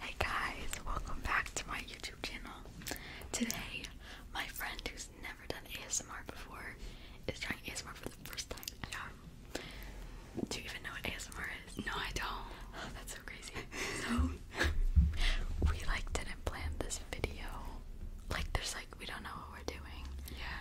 Hey guys, welcome back to my YouTube channel. Today, my friend who's never done ASMR before is trying ASMR for the first time ever. Do you even know what ASMR is? No, I don't. Oh, that's so crazy. So, we like didn't plan this video. Like, there's like, we don't know what we're doing. Yeah.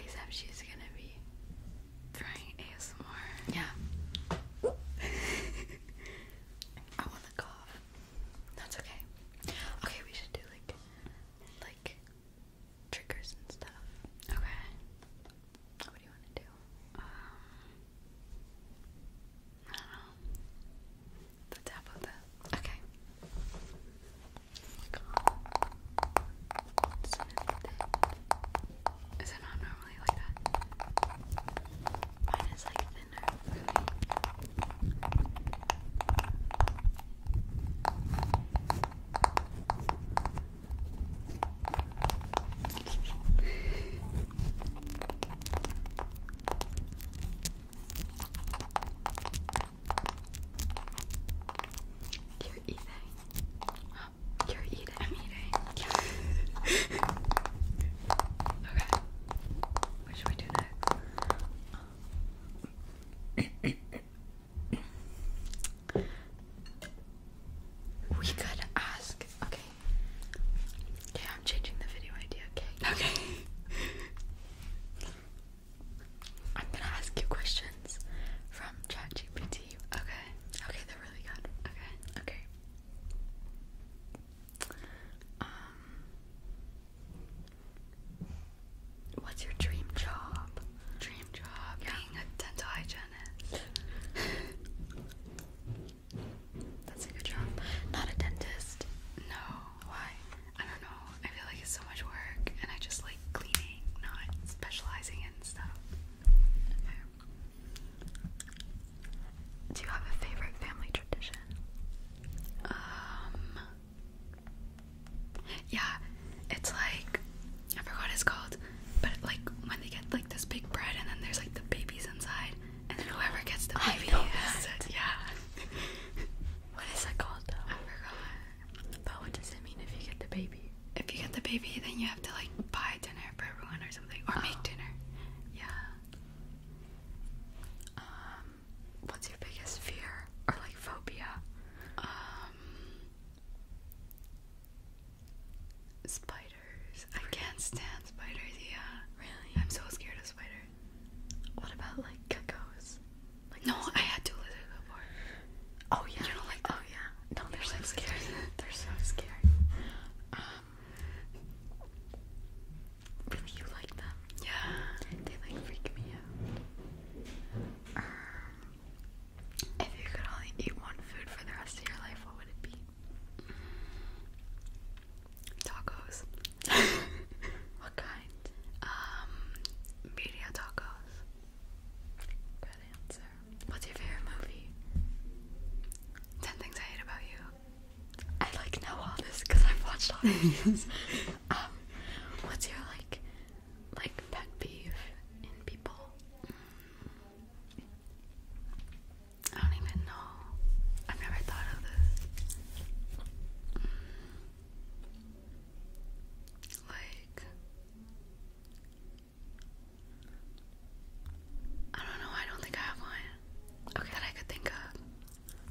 Except she's gonna be trying ASMR. Yeah. I want the cough. That's okay. Okay, we should do like like triggers and stuff. Okay. What do you want to do? Um I don't know. The tap okay. Oh my God. Is it not normal? normally Mine is like thinner, really. You're eating. You're eating. I'm eating. okay. What should we do next? we could ask. Okay. Okay, I'm changing the video idea. Okay. Okay. I'm gonna ask you questions from ChatGPT. Okay. Okay, they're really good. Okay. Okay. Um, what's your dream job? Dream job being a dental hygienist. That's a good job. Not a dentist. No. Why? I don't know. I feel like it's so much work, and I just like cleaning, not specializing in stuff. Do you have a favorite family tradition? Um Yeah, it's like I forgot what it's called, but like when they get like this big bread and then there's like the babies inside and whoever gets the baby has it. Yeah. what is that called though? I forgot. But what does it mean if you get the baby? If you get the baby then you have to like buy dinner for everyone or something, or make oh. dinner. Yeah. Um, what's your biggest fear or like phobia? Um, spiders. I can't stand spiders. Yeah. Really? I'm so scared of spiders. What about like geckos? no, I had two lizards before. Oh yeah. Oh yeah. No, they're so scary. they're so scary. Um Really you like them? Yeah. They like freak me out. Um if you could only eat one food for the rest of your life, what would it be? Tacos. what kind? Um media tacos. Good answer. What's your favorite movie? Ten things I hate about you. I like know all this because I've watched all the um, what's your like, like pet peeve in people? Mm. I don't even know. I've never thought of this. Mm. Like, I don't know. I don't think I have one. that I could think of.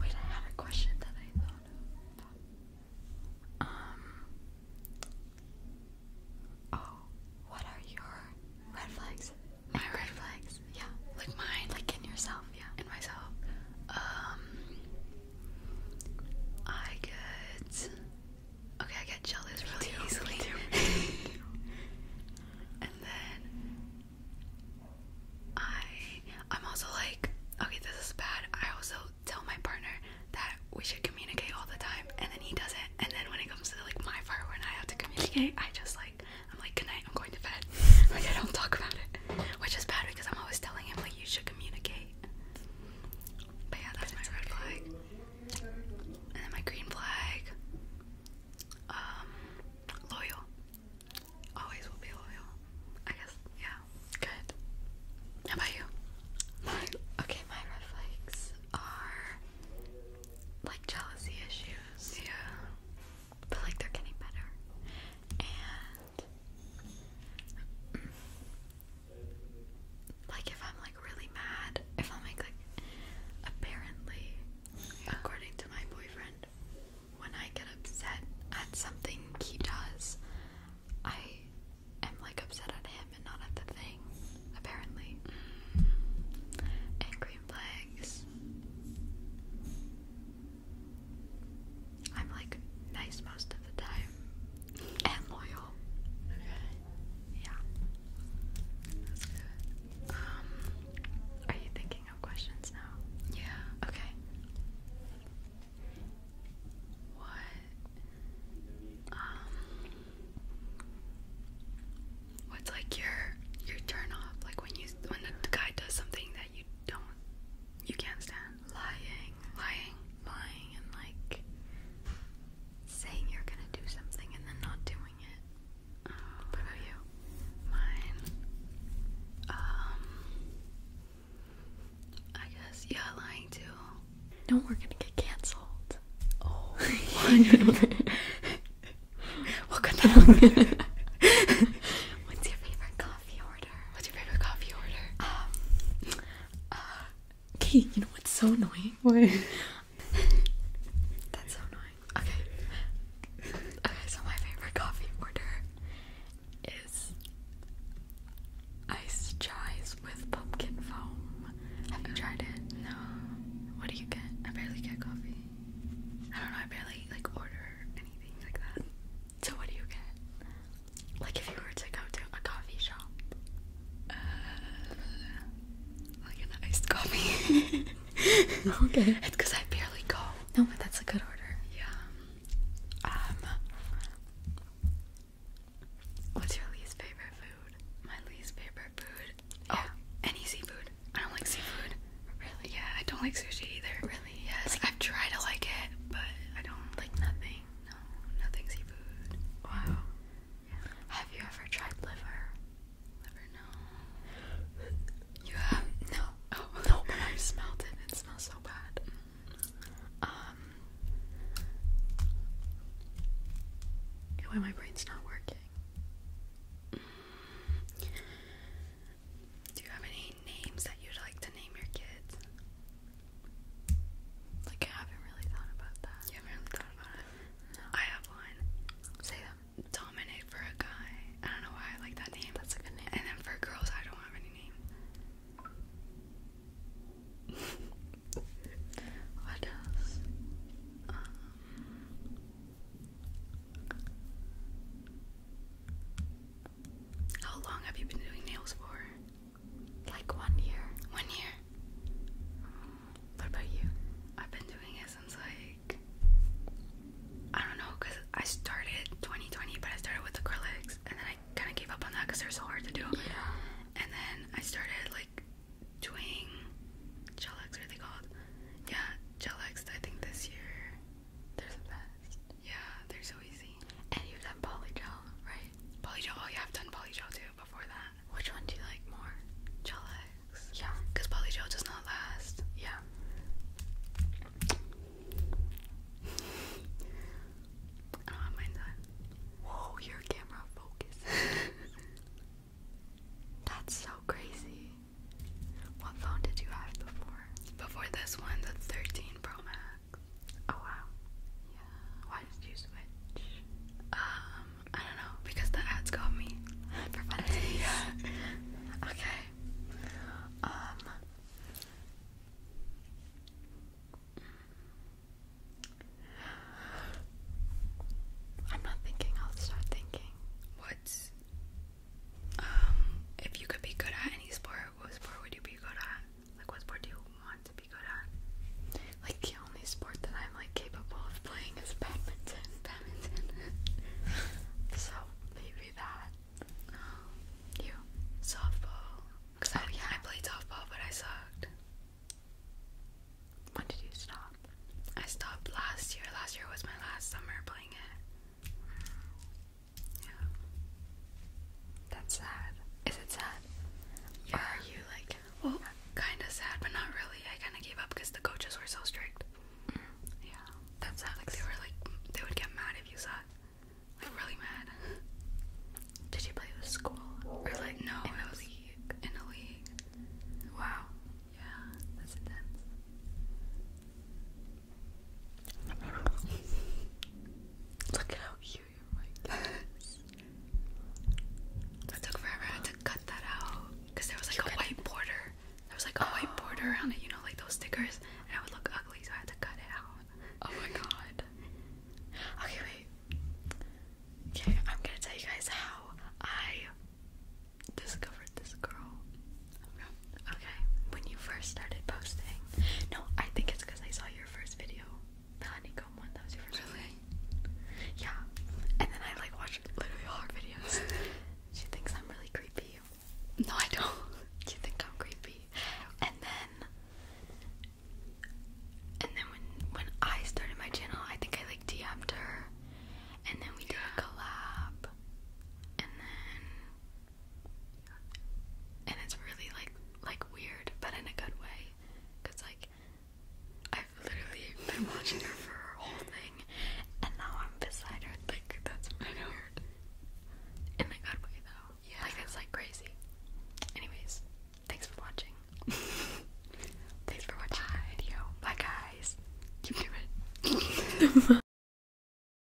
Wait, I had a question that I thought of. Um. Oh, what are your red flags? My red flags? Yeah. Like mine? Like in yourself? Yeah. In myself. Um. I get Okay, I get jealous really easily. Too, and then I I'm also like, okay, this is bad. I also tell my partner that we should communicate all the time and then he doesn't. And then when it comes to like my part when I have to communicate, I just like I'm like, good night, I'm going to bed. like I don't talk about it. Which is bad because I'm always telling him like you should communicate. But yeah, that's my red flag. And then my green flag. Um, loyal. Always will be loyal. I guess, yeah. Good. How about you? okay, my red flags are like jealousy issues. Yeah. But like they're getting better. And mm, like if I'm like really mad, if I'm like, apparently, according to my boyfriend, when I get upset at something he does, I am like upset at him and not at the thing. Apparently, mm. and I'm like nice most of the time and loyal yeah, that's good. Um, are you thinking of questions now? Yeah. Okay. What? Um, what's like your your turn off? Like when you when the guy does something that you don't you can't stand lying, lying, lying, and like saying you're gonna do something and then not doing it. What about you? Mine. Um. I guess yeah, lying too. No, we're gonna get canceled. Oh. What's your favorite coffee order? What's your favorite coffee order? Um, uh, Okay, you know what's so annoying? What? That's so annoying. Okay. Okay, so my favorite coffee order is iced chais with pumpkin foam. Have you tried it? No. What do you get? I barely get coffee. I don't know, I barely like order anything like that. So what do you get? like if you were to go to a coffee shop, uh, like an iced coffee. okay. It's because I barely go. No, but that's a good order. Yeah. Um. What's your least favorite food? My least favorite food. Oh, any seafood. I don't like seafood. Really? Yeah, I don't like sushi either. Really? Yes. I've tried to like it, but I don't like nothing. No, nothing seafood. Wow. Have you ever tried liver? Liver, no. You have? No. Oh, no, I smelled it. It smells so bad. Um. Why my brain's not working? Do you have any names that you'd like to name your kids? Like, I haven't really thought about that. You haven't thought about it? I have one. Say them. Dominic for a guy. I don't know why I like that name. That's a good name. And then for girls, I don't have any name. what else? Um, how long have you been doing nails for? Like one year. One year. Mm. What about you? I've been doing it since like I don't know, cause I started 2020, but I started with acrylics, and then I kind of gave up on that because they're so hard to do. Yeah. And then I started like doing gel X, are they called? Yeah, gel X. I think this year. They're the best. Yeah, they're so easy. And you've done polygel, right? Polygel. Oh, yeah, I've done polygel too before that. Which one do you like more? Gel Yeah. Because polygel does not last. Yeah. I don't have mine done. Whoa, your camera focus. That's so crazy. What phone did you have before? Before this one, the 13 Pro Max. Oh wow. Yeah. Why did you switch? Um, I don't know, because the ads got me Okay. Um I'm not thinking, I'll start thinking. What's um if you could be good at any sport, what sport would you be good at? Like, what sport do you want to be good at? Like, the only sport that I'm like capable of playing is badminton. Badminton. so maybe that. Um, you softball. Cause I, oh, I played softball, but I sucked. When did you stop? I stopped last year. Last year was my last summer playing it. Yeah. That's sad. Is it sad? Yeah. Or are you like, well, kind of sad, but not really. I kind of gave up because the coaches were so strict. Mm. Yeah. That's sad. Like they were like, they would get mad if you sucked. Like really mad. Did you play with school? Or like no, in a league. In a league. Wow. Yeah, that's intense. Look at how it took forever I had to cut that out because there was like a white border. There was like a white border around it, you know, like those stickers, and it would look ugly, so I had to cut it out. Oh my god. Okay, wait. Okay, I'm gonna tell you guys how I discovered this girl. Okay, when you first started posting. No, I think it's because I saw your first video. The honeycomb one, that was your first video. Yeah. And then I like watch literally all videos. she thinks I'm really creepy. No, I don't. you think I'm creepy. And then and then when when I started my channel, I think I like DM'd her. And then we did a collab. And then and it's really like like weird, but in a good way, cause like I've literally been watching her for her whole thing, and now I'm beside her. Like that's weird. In a good way though. Yeah. Like it's like crazy. Anyways, thanks for watching. thanks for watching Bye. my Bye guys. Keep doing it.